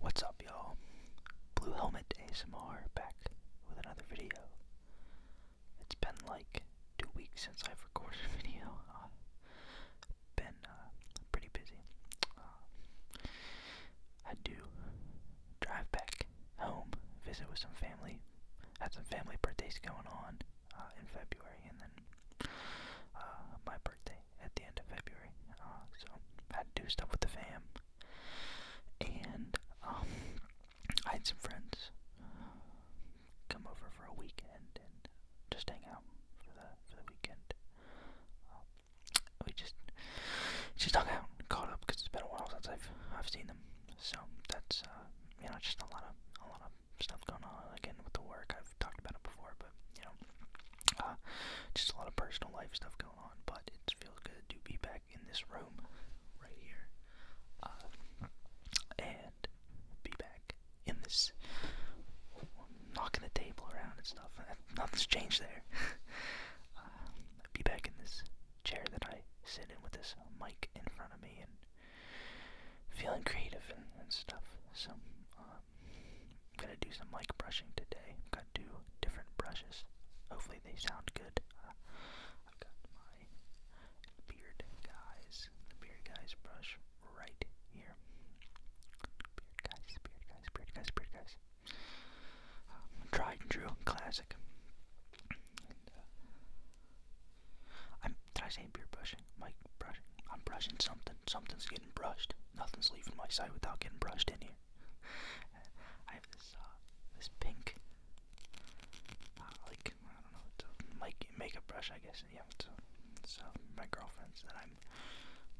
What's up, y'all? Blue Helmet ASMR back with another video. It's been like two weeks since I've recorded a video. Uh, been uh, pretty busy. I uh, do drive back home, visit with some family, had some family birthdays going on uh, in February, and then uh, my birthday at the end of February. Uh, so I had do stuff with the fam, and um, I had some friends come over for a weekend and just hang out for the for the weekend. Uh, we just just hung out, and caught up because it's been a while since I've I've seen them. So that's uh, you know just a lot of a lot of stuff going on again with the work. I've talked about it before, you know, uh, just a lot of personal life stuff going on. But it feels good to be back in this room right here, uh, and be back in this knocking the table around and stuff. Nothing's changed there. uh, be back in this chair that I sit in with this mic in front of me and feeling creative and, stuff. So, uh, I'm gonna do some mic brushing today. I've got two different brushes. Hopefully they sound good. Uh, I've got my beard guys, the beard guys brush right here. Beard guys, beard guys, beard guys, beard guys. Um, tried and true, classic. And, uh, I'm, did I say beard brush? my brushing. I'm brushing something. Something's getting brushed. Nothing's leaving my side without getting brushed in here. I have this uh, this pink, uh, like I don't know, it's a make makeup brush, I guess. Yeah, it's, a, it's uh, my girlfriend's that I'm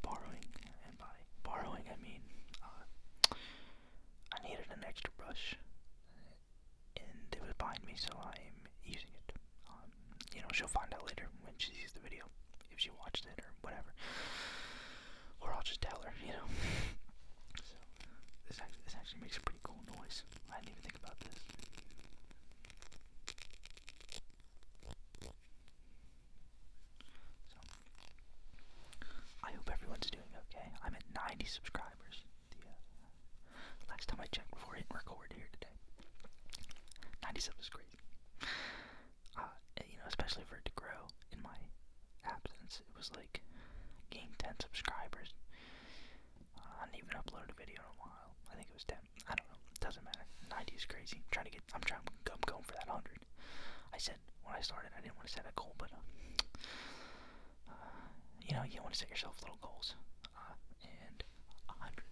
borrowing, and by borrowing I mean uh, I needed an extra brush, and it was behind me, so I'm using it. Um, you know, she'll find out later when she sees the video, if she watched it or whatever. Or I'll just tell her, you know. this actually, makes a pretty cool noise. I didn't even think about this. So, I hope everyone's doing okay. I'm at 90 subscribers. Uh, last time I checked before I hit record here today. 90 subscribers. Uh, you know, especially for it to grow in my absence. It was like gained 10 subscribers. Uh, I didn't even upload a video in a while. I think it was 10. I don't know. It doesn't matter. 90 is crazy. trying to get. I'm trying. I'm going for that 100. I said when I started, I didn't want to set a goal, but uh, you know, you want to set yourself little goals. Uh, and 100.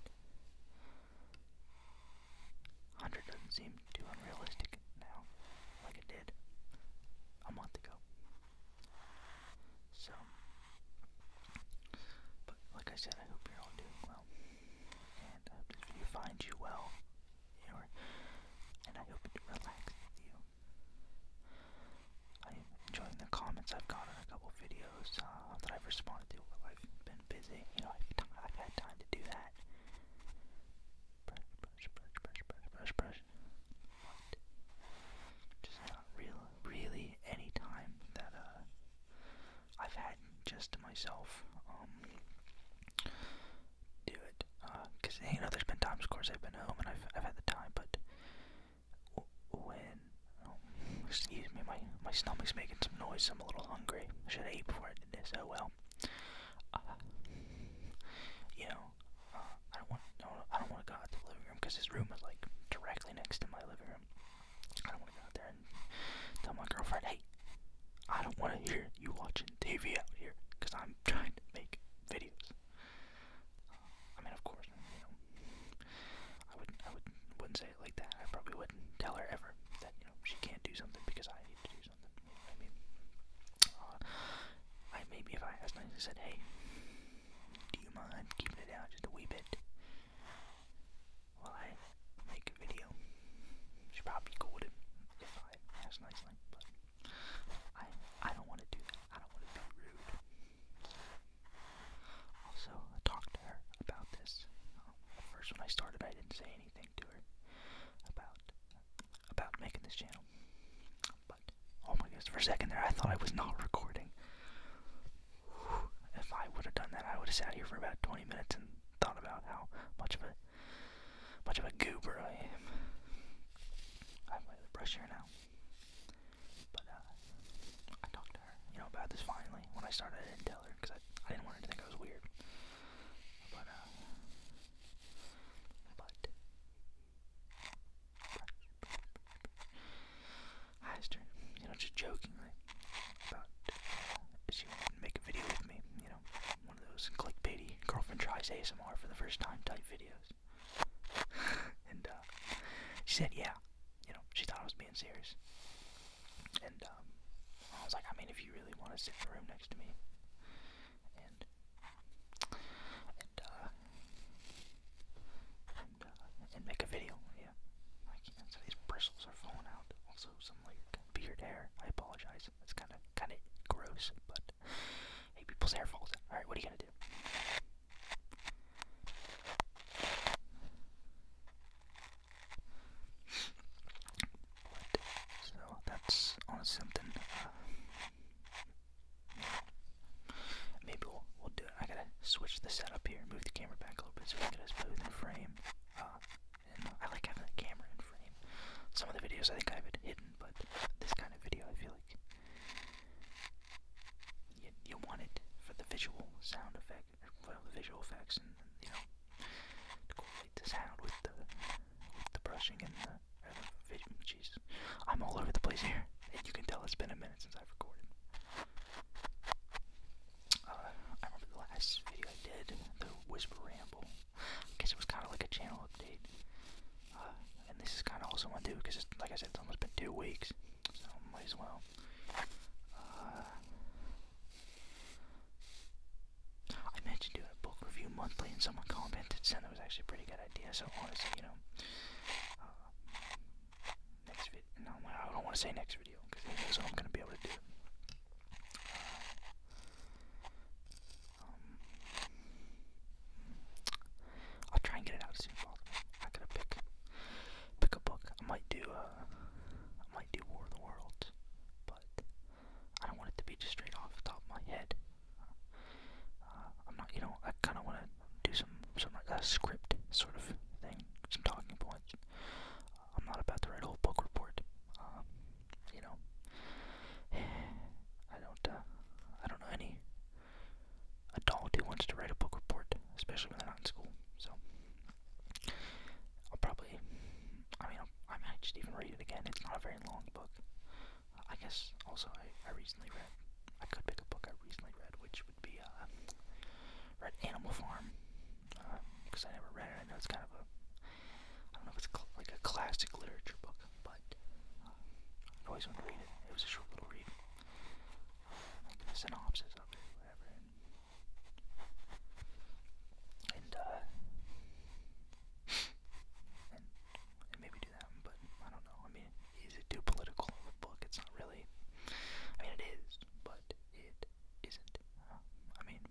100 doesn't seem too unrealistic now, like it did a month ago. So, but like I said, I hope you're all doing well, and I hope this video finds you well, and I hope it relaxes you. I'm enjoying the comments I've got on a couple videos videos uh, that I've responded to while I've been busy. You know, I've, I've had time to do that. Brush, brush, brush, brush, brush, brush, brush. What? Just not real, really any time that uh, I've had just to myself. Um, do it. Because, uh, you know, there's been times, of course, I've been home and I've, I've had the time, but Oh, excuse me, my, my stomach's making some noise, I'm a little hungry, should I eat before I do this, oh well, uh, you know, uh, I don't want, no, I don't want to go out to the living room, because his room is like, directly next to my living room, I don't want to go out there and tell my girlfriend, hey, I don't want to hear you watching TV out here, because I'm trying to make videos, uh, I mean, of course, I wouldn't I wouldn't wouldn't say it like that. I probably wouldn't tell her ever that you know she can't do something because I need to do something. You know I mean, uh, I maybe if I asked nicely said, "Hey, do you mind keeping it down just a wee bit while I make a video?" She probably cool with it if I asked nicely, but I I don't want to do that. I don't want to be rude. Also, I to her about this. first, when I started, I didn't say anything to her about about making this channel. But oh my goodness, for a second there, I thought I was not recording. If I would have done that, I would have sat here for about 20 minutes and thought about how much of a much of a goober I am. I'm gonna brush here now. But uh, I talked to her, you know, about this finally. When I started, I didn't tell her because I, I didn't want her to think I was weird. But uh, but I asked her, you know, just joking. about if uh, she wanted to make a video with me, you know, one of those clickbaity girlfriend tries ASMR for the first time type videos. and uh, she said, yeah you know, she thought I was being serious. And um, I was like, I mean, if you really want to sit in the room next to me, and and uh, uh, make a video, yeah. I can't. so these bristles are falling out. Also, some like beard hair. I apologize. It's kind of kind of gross, but hey, people's hair falls out. All right, what are you gonna do? But, so that's on something. Uh, maybe we'll, we'll do it. I gotta switch the setup here, move the camera back a little bit so we can get us both in frame. Uh, and I like having the camera in frame. Some of the videos I think I have it hidden, but this kind of video I feel like you, want it for the visual sound effect, well, the visual effects, and you know, to correlate the sound with the the brushing and the, or I'm all over the place here, and you can tell it's been a minute since I've recorded. Uh, I remember the last video I did, the Whisper Ramble. I guess it was kind of like a channel update. Uh, and this is kind of also one do because like I said, it's almost been two weeks so might as well. Uh, I mentioned doing a book review monthly, and someone commented saying that was actually a pretty good idea. So honestly, you know, uh, next video. I don't want to say next video because that's knows I'm gonna be able to do. Uh, um, I'll try and get it out as soon as possible. I gotta pick pick a book. I might do uh I might do War of the Worlds, but I don't want it to be just straight off the top of my head. Uh, I'm not, you know, I kind of want to do some some like a script sort of thing, some talking points. Uh, I'm not about to write a whole book report. Uh, you know, I don't uh, I don't know any adult who wants to write a book report, especially when they're not in school. So I'll probably, I mean, I'll, I might just even read it again. It's not a very long book. I guess also I, I recently read, I could pick a book I recently read, which would be, uh, read Animal Farm, because uh, I never read it. I know it's kind of a, I don't know if it's cl- like a classic literature book, but uh, I always wanted to read it. It was a short little read like the synopsis of it, uh, And, maybe do that, but I don't know. I mean, is it too political of a book? It's not really. I mean, it is, but it isn't. I mean,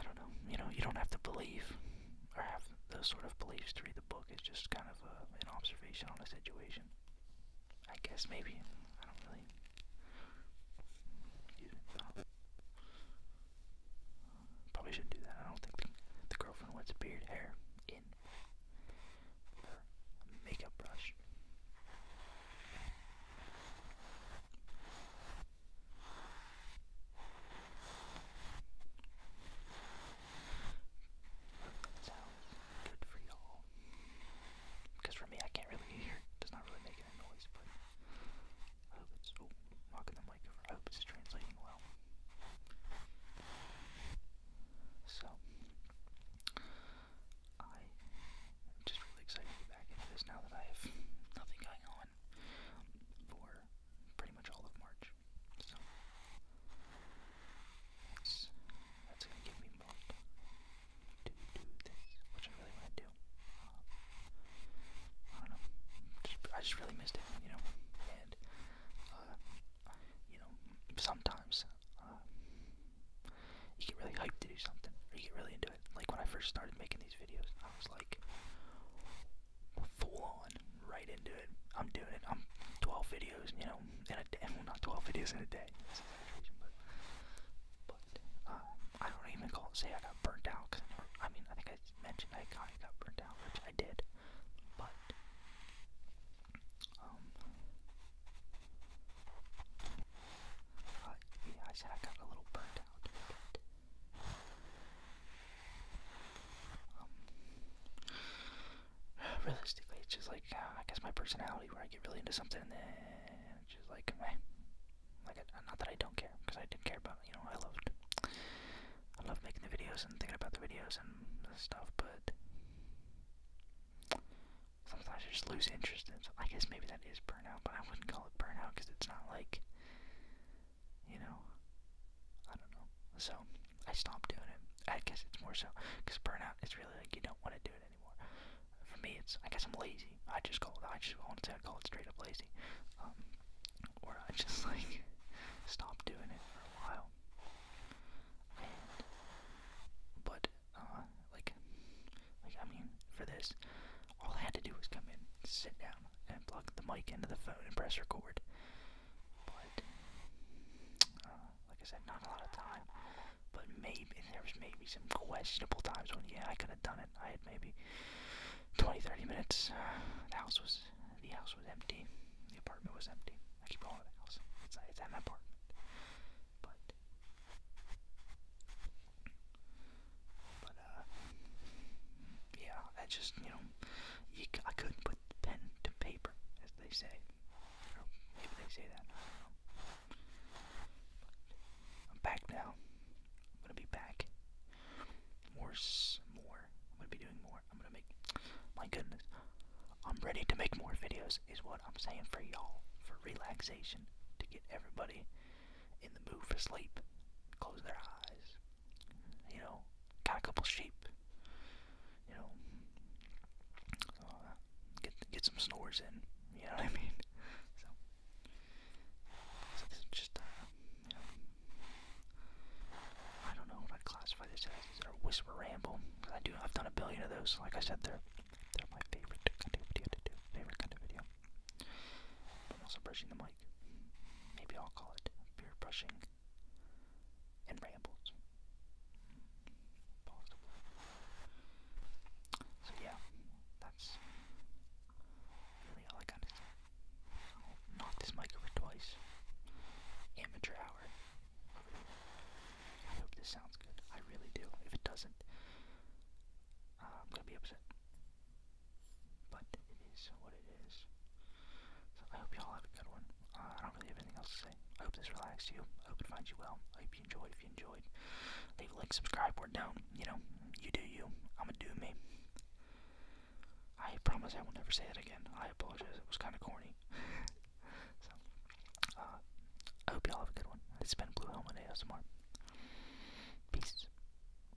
I don't know. You know, you don't have to believe or have those sort of beliefs to read the book book. It's just kind of an observation on a situation. I guess maybe. Probably shouldn't do that. I don't think the, girlfriend wants beard hair in makeup brush. Sounds good for y'all. Because for me, I can't really hear. It not really make any noise, but I hope it's. Oh, knocking the mic I hope it's translating well. So, I am just really excited to be back into this now that I have nothing going on for pretty much all of March. So that's that's gonna give me more to do this, which I really want to do. Uh, I don't know. Just, I just really missed it, you know. And uh, you know, sometimes uh, you get really hyped to do something, or you get really into it. Like when I first started making these videos, I was like, full on right into it. I'm doing it. I'm 12 videos, you know, in a day. Well, not 12 videos in a day. but uh, I don't even call say I got burnt out. I, mean, I think I mentioned I kind of got burnt out, which I did. But um, uh, I said I got a little burnt out. realistically, it's just like uh, I guess my personality, where I get really into something and then just like, like not that I don't care, because I did care about you know I loved, I loved making the videos and thinking about the videos and stuff, but sometimes just lose interest in. So I guess maybe that is burnout, but I wouldn't call it burnout because it's not like you know, I don't know. So I stopped doing it. I guess it's more so because burnout is really like you don't want to do it anymore. For me, it's I guess I'm lazy. I just call it. I just want to call it straight up lazy, um, or I just like stop doing it for a while. And but uh, like, like I mean, for this, all I had to do was come in, sit down, and plug the mic into the phone and press record. But uh, like I said, not a lot of time. But maybe there was maybe some questionable times when yeah I could have done it. I had maybe 20, 30 minutes. The house was the house was empty. The apartment was empty. I keep calling it house. It's it's at my apartment. but uh, yeah, I just you know, I couldn't put pen to paper, as they say. Or they say that. I'm back now. I'm gonna be back. More, more. I'm gonna be doing more. I'm gonna make. My goodness, I'm ready to make more videos. Is what I'm saying for y'all for relaxation to get everybody in the mood for sleep. Close their eyes you know, got a couple sheep, you know, get get some snores in, you know what I mean? So, this is just, uh, I don't know what I'd classify this as. Is it a whisper ramble? I do, I've done a billion of those. Like I said, they're they're my favorite kind of video to do, favorite kind of video. I'm also brushing the mic. Maybe I'll call it beer brushing and rambles. Possible. So yeah, that's really all I got say. i this mic over twice. Amateur hour. I hope this sounds good. I really do. If it doesn't, uh, I'm gonna be upset. But it is what it is. So I hope you all have a good one. Uh, I don't really have anything else to say. I hope this relaxed you. I hope it finds you well. I hope you enjoyed. If you enjoyed, leave a like, subscribe, or don't. You know, you do you. I'ma do me. I promise I will never say it again. I apologize. It was kind of corny. so, uh, I hope you all have a good one. It's been Blue Helmet ASMR. Peace.